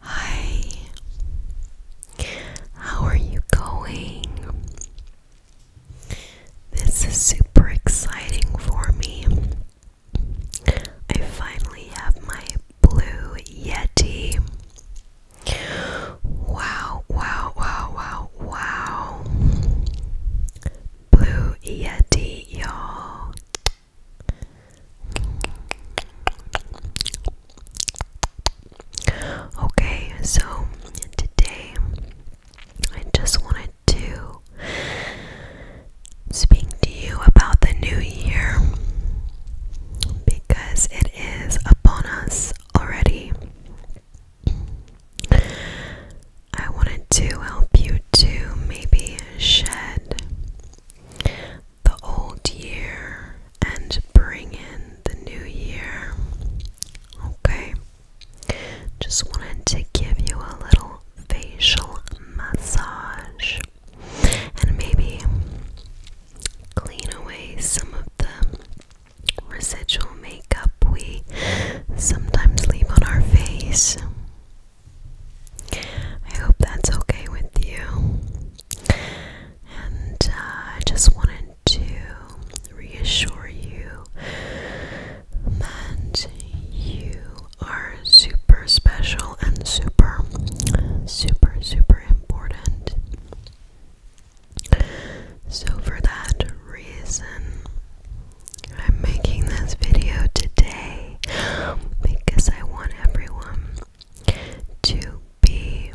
Hi, how are you going? This is super exciting for me. I finally have my blue Yeti. Wow, wow, wow, wow, wow. Blue Yeti, you Okay, so today I just wanted to speak to you about the new year because it is upon us already. I wanted to help you to maybe shed the old year and bring in the new year. Okay, just wanted to give you a little facial massage and maybe clean away some of the residual makeup we sometimes leave on our face. I hope that's okay with you. And uh, I just wanted to reassure you that you are super special and super, super, super important. So, for that reason, I'm making this video today because I want everyone to be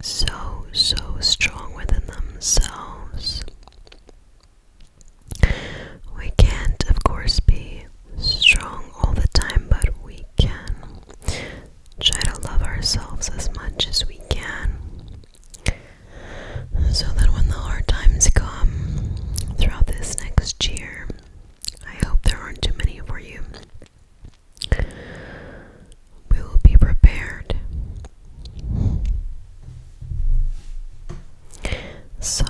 so, so strong within themselves. We can't, of course, be strong all the time, but we can try to love ourselves as much as we can. So that when the hard times come throughout this next year, I hope there aren't too many for you. We will be prepared. So,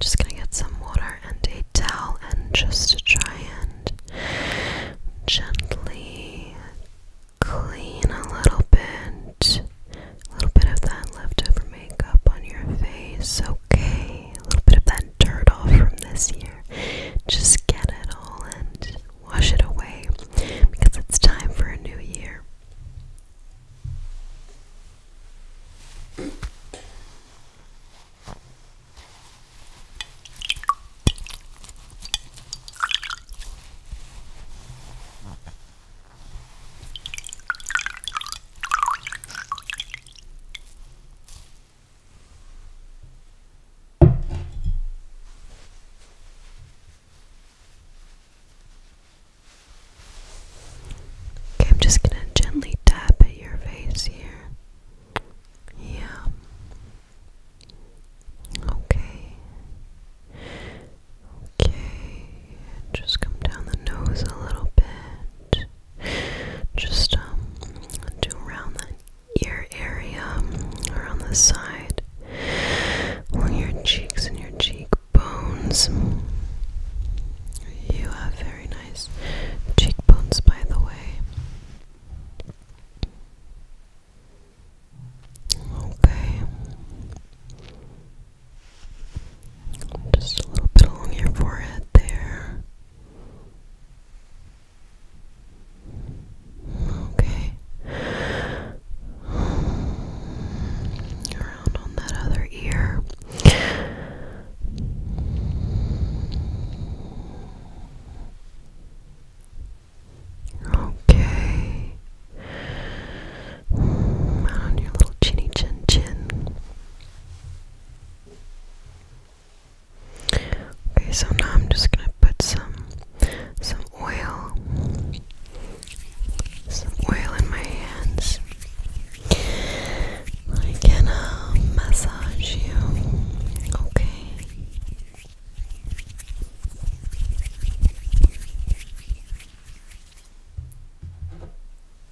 just gonna get some water and a towel and just try and gently clean a little bit a little bit of that leftover makeup on your face, okay? A little bit of that dirt off from this year. Just get it all and wash it away because it's time for a new year. I'm just gonna gently tap at your face here. Yeah. Okay. Okay, just come down the nose a little bit. Just um, do around the ear area, around the side, on your cheeks and your cheekbones. You have very nice cheekbones, by the way. Okay. Just a little bit along your forehead there. Okay. Around on that other ear. Okay on your little chinny chin chin. Okay, so now I'm just gonna put some some oil, some oil in my hands. I can uh, massage you. Okay.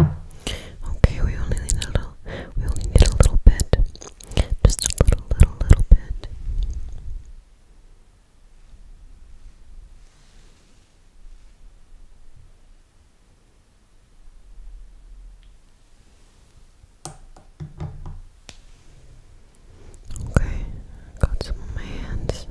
Okay, we only need a little we only need a little bit. Just a little little little bit. Okay, got some on my hands.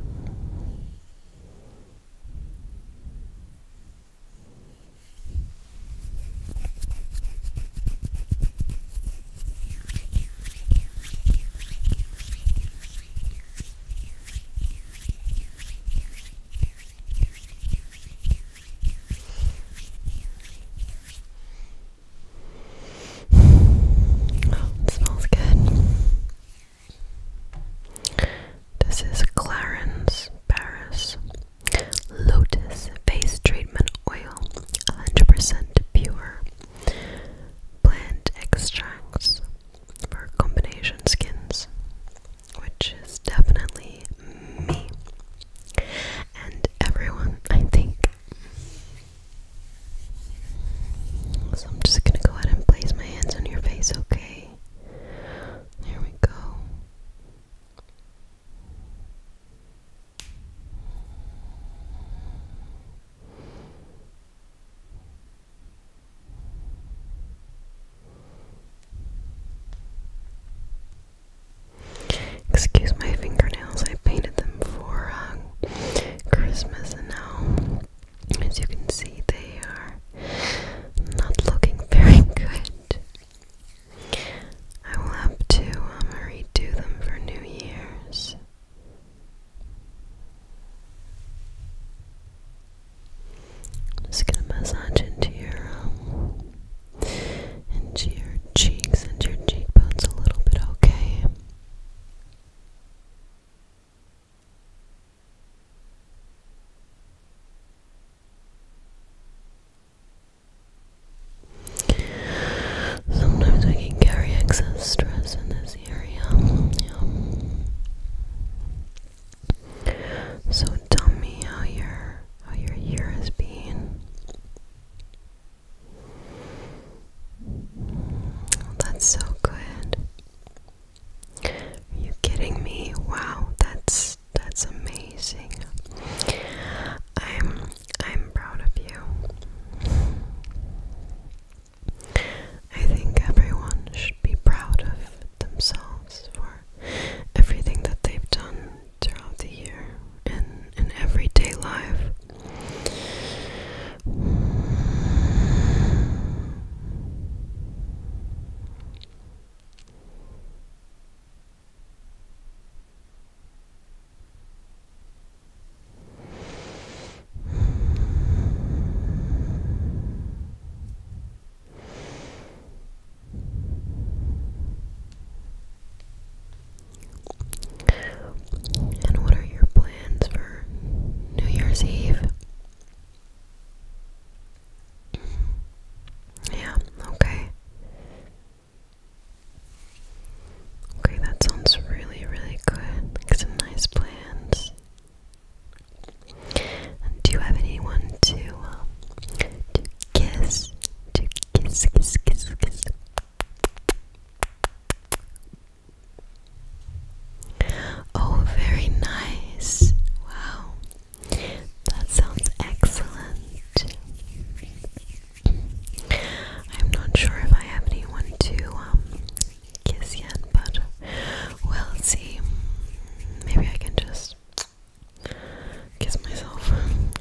Oh, it smells good. This is Clarins Paris Lotus Face Treatment Oil, 100% pure plant extracts for combination skins, which is definitely me and everyone, I think. So I'm just gonna go ahead and place my hands on your face, okay? There we go. Excuse my fingernails, I painted them for uh, Christmas and now as you can see, they are not looking very good. I will have to um, redo them for New Year's. just gonna massage into your um, into your cheeks and your cheekbones a little bit, okay? Sometimes we can carry excess stress in this area. So tell me how your how your year has been. Oh, that's so good. Are you kidding me? Wow, that's that's amazing. I'm I'm proud of you. I think everyone should be proud of themselves for everything that they've done throughout the year and in everyday life. And what are your plans for New Year's Eve? Yeah, okay. Okay, that sounds really, really good. some nice plans. do you have anyone to uh, to kiss? To kiss, kiss, kiss, kiss. Oh, very nice. Wow. That sounds excellent. I'm not sure if I have anyone to um, kiss yet, but we see. Maybe I can just kiss myself,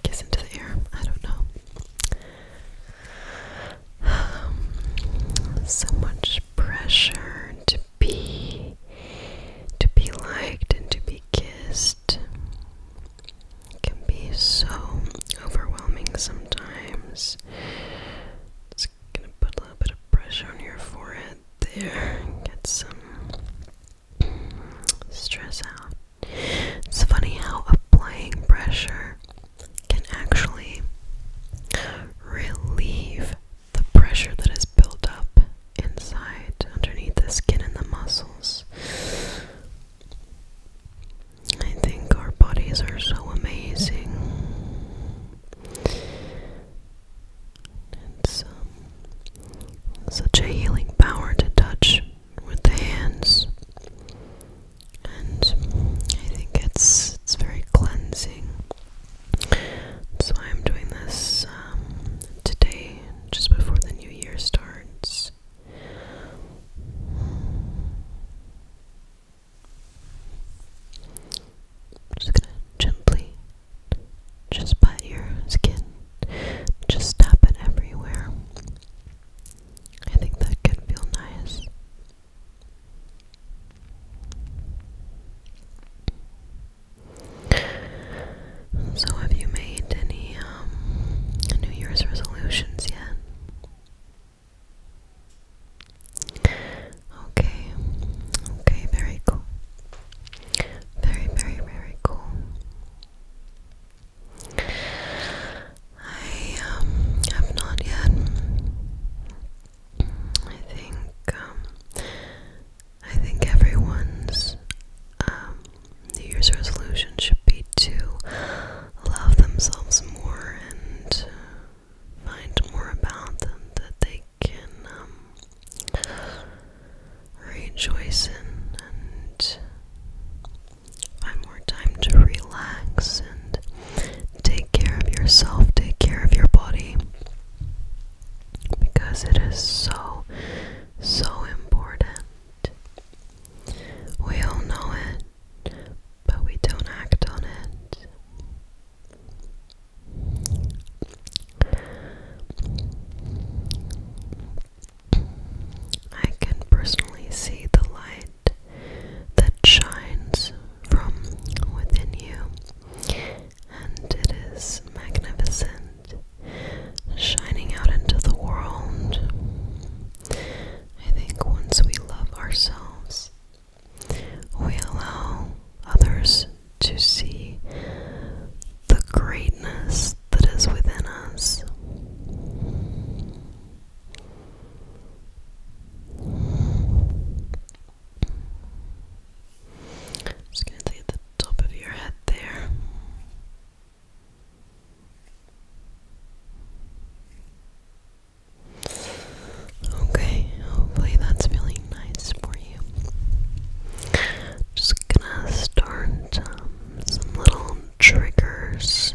kiss into the air. I don't know. Um, so much pressure to be to be liked and to be kissed can be so overwhelming sometimes. It's gonna put a little bit of pressure on your forehead there get some stress out. It's funny how applying pressure can actually relieve the pressure that is built up inside underneath the skin and the muscles. I think our bodies are so amazing. It's um, such a healing power to touch with the hands, and I think it's it's very cleansing. So I'm doing this um, today, just before the new year starts. Just gonna gently just pat your skin, just tap it everywhere. I think that can feel nice. So, have you made any um, New Year's resolutions yet? Okay, okay, very cool. Very, very, very cool. I um, have not yet. I think um, I think everyone's um, New Year's resolution should be to love themselves more and find more about them that they can um, rejoice in and find more time to relax and Take care of yourself, take care of your body because it is so, so important. We all know it, but we don't act on it. I can personally see the light that shines from within you and it is magnificent, shining out into the world. I think once we love ourselves, we allow others to see the greatness that is within us. Just gonna take the top of your head there. Okay, hopefully that's feeling nice for you. Just gonna start um, some little triggers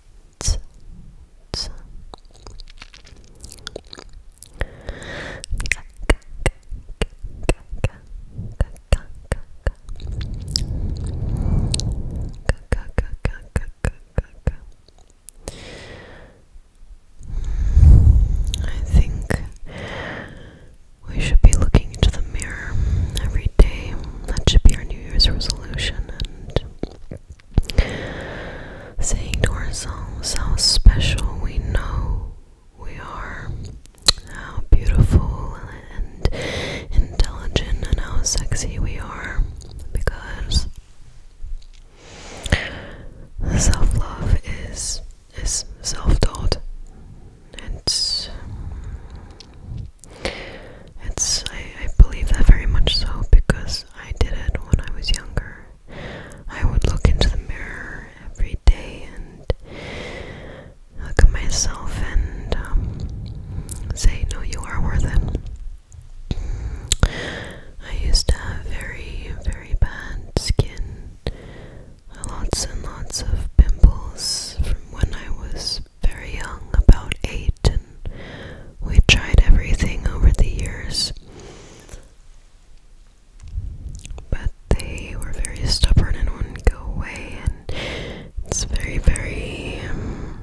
T -t I think we should be looking into the mirror every day that should be our New Year's resolution and saying to ourselves how special we know we are, how beautiful and intelligent and how sexy we are because self love is is self taught. It's it's I, believe that very much so because I did it when I was younger. I would look into the mirror every day and look at myself and um, say, "No, you are worth it." I used to have very, very bad skin, lots and lots of pimples from when I was very young, about eight, and we tried everything over the years. But they were very stubborn and wouldn't go away, and it's very, very um,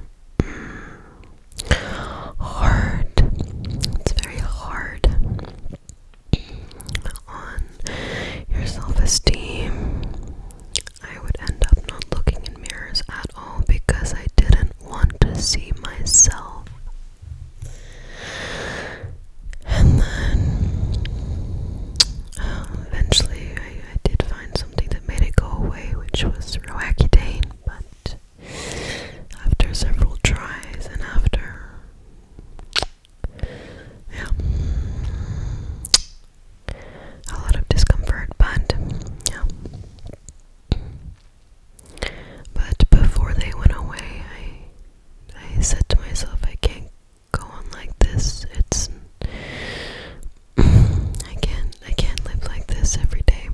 hard. It's very hard on your self esteem I would end up not looking in mirrors at all because I didn't want to see myself. And then uh, eventually I did find something that made it go away, which was Roaccutane, but after several tries and after yeah a lot of discomfort, but yeah. But before they went away, I I said to myself, I can't go on like this. It's I can't I can't live like this every day.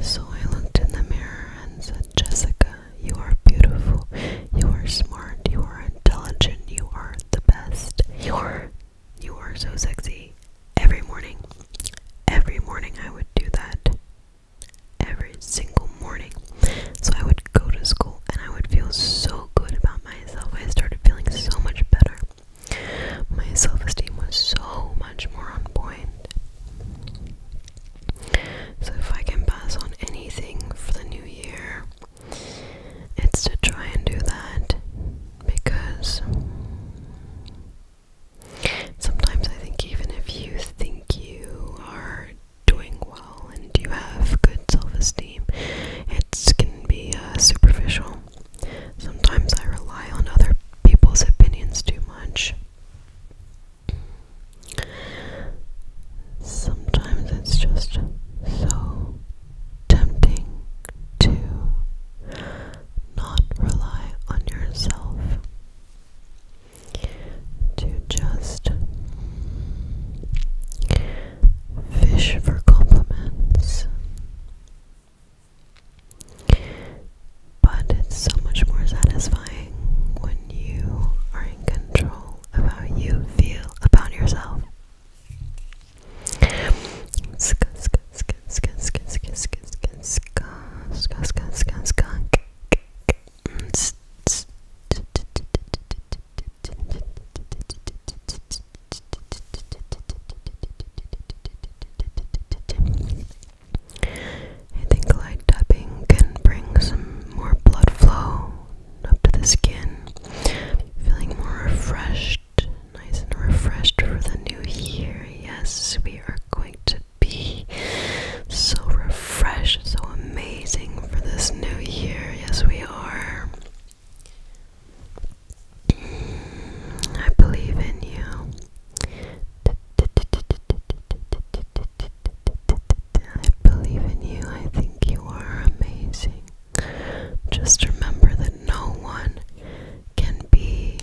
So I looked in the mirror and said, Jessica, you are beautiful. You are smart. You are intelligent. You are the best. You're you are so sexy. Every morning. Every morning I would do that. Every single morning. So I would go to school and I would feel so good about myself. I started feeling so much better. My self esteem was so much more on point. So, if I can pass on anything for the new year, it's to try and do that because sometimes I think even if you think you are doing well and you have good self esteem, it can be uh, superficial. Sometimes I rely on other people's opinions too much. Sometimes it's just so tempting to not rely on yourself, to just fish for compliments. But it's so much more satisfying when you are in control of how you feel about yourself. Ska, ska, ska, ska, ska, ska, ska, ska, ska, ska, ska, ska. I think light tapping can bring some more blood flow up to the skin, feeling more refreshed nice and refreshed for the new year. Yes, we are going to be so refreshed, so amazing for this new year. Yes, we are. I believe in you. I believe in you. I think you are amazing. Just remember that no one can be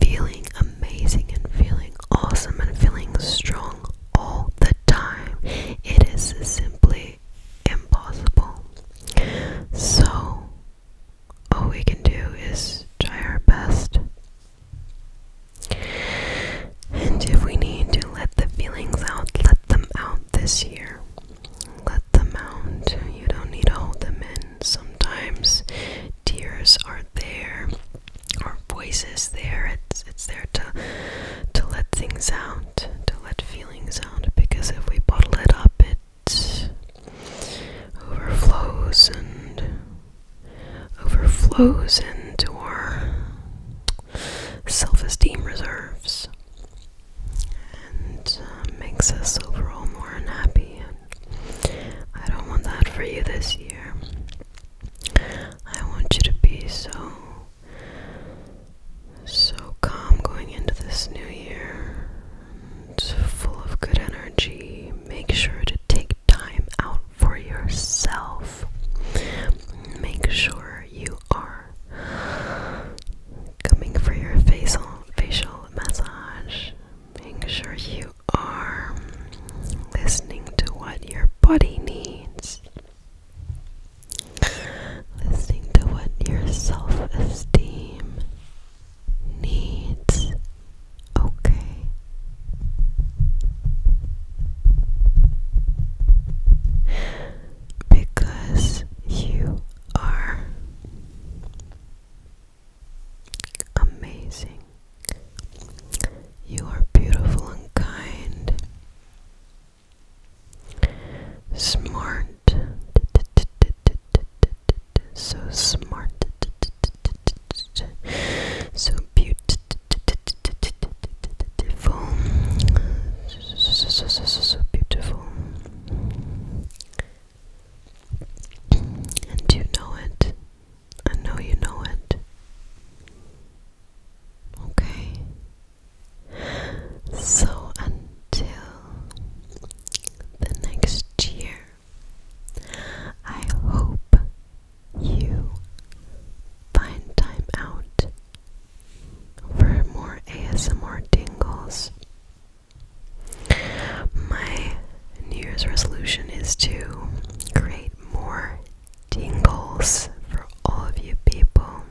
feeling amazing and feeling awesome and feeling strong all the time. It is simply impossible. So, all we can do is try our best. And if we need to let the feelings out, let them out this year. Let them out. You don't need to hold them in. Sometimes tears are there or voices there. It's it's there to to let things out, to let feelings out because if we bottle it up it overflows and overflows into our self-esteem reserves and uh, makes us overall more unhappy. I don't want that for you this year. I want you to be so, so calm going into this new year and full of good energy. Make sure to take time out for yourself. Make sure you are coming for your facial facial massage. Making sure you are listening to what your body needs. Listening to what your self-esteem needs. Okay. Because you are amazing. You are beautiful and kind, smart, so smart, so beautiful, so beautiful. And you know it. I know you know it. Okay. So until the next year, I hope you find time out for more ASMR dingles. My New Year's resolution is to create more tingles for all of you people.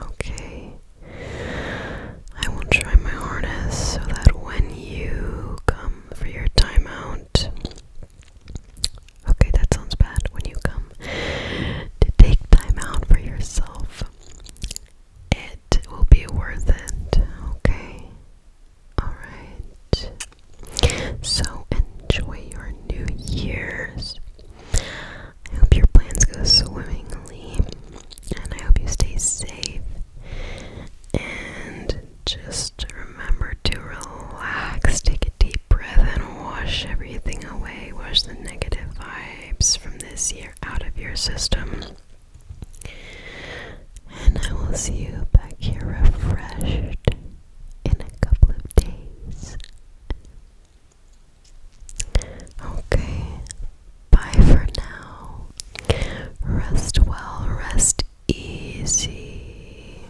Okay. I will try my hardest so that when you come for your timeout, okay, that sounds bad. When you come to take time out for yourself, it it will be worth it, okay? Alright. So enjoy your New Year's. I hope your plans go swimmingly, and I hope you stay safe. And just remember to relax, take a deep breath, and wash everything away. Wash the negative vibes from this year out of your system. And I will see you back here refreshed in a couple of days. Okay, bye for now. Rest well, rest easy.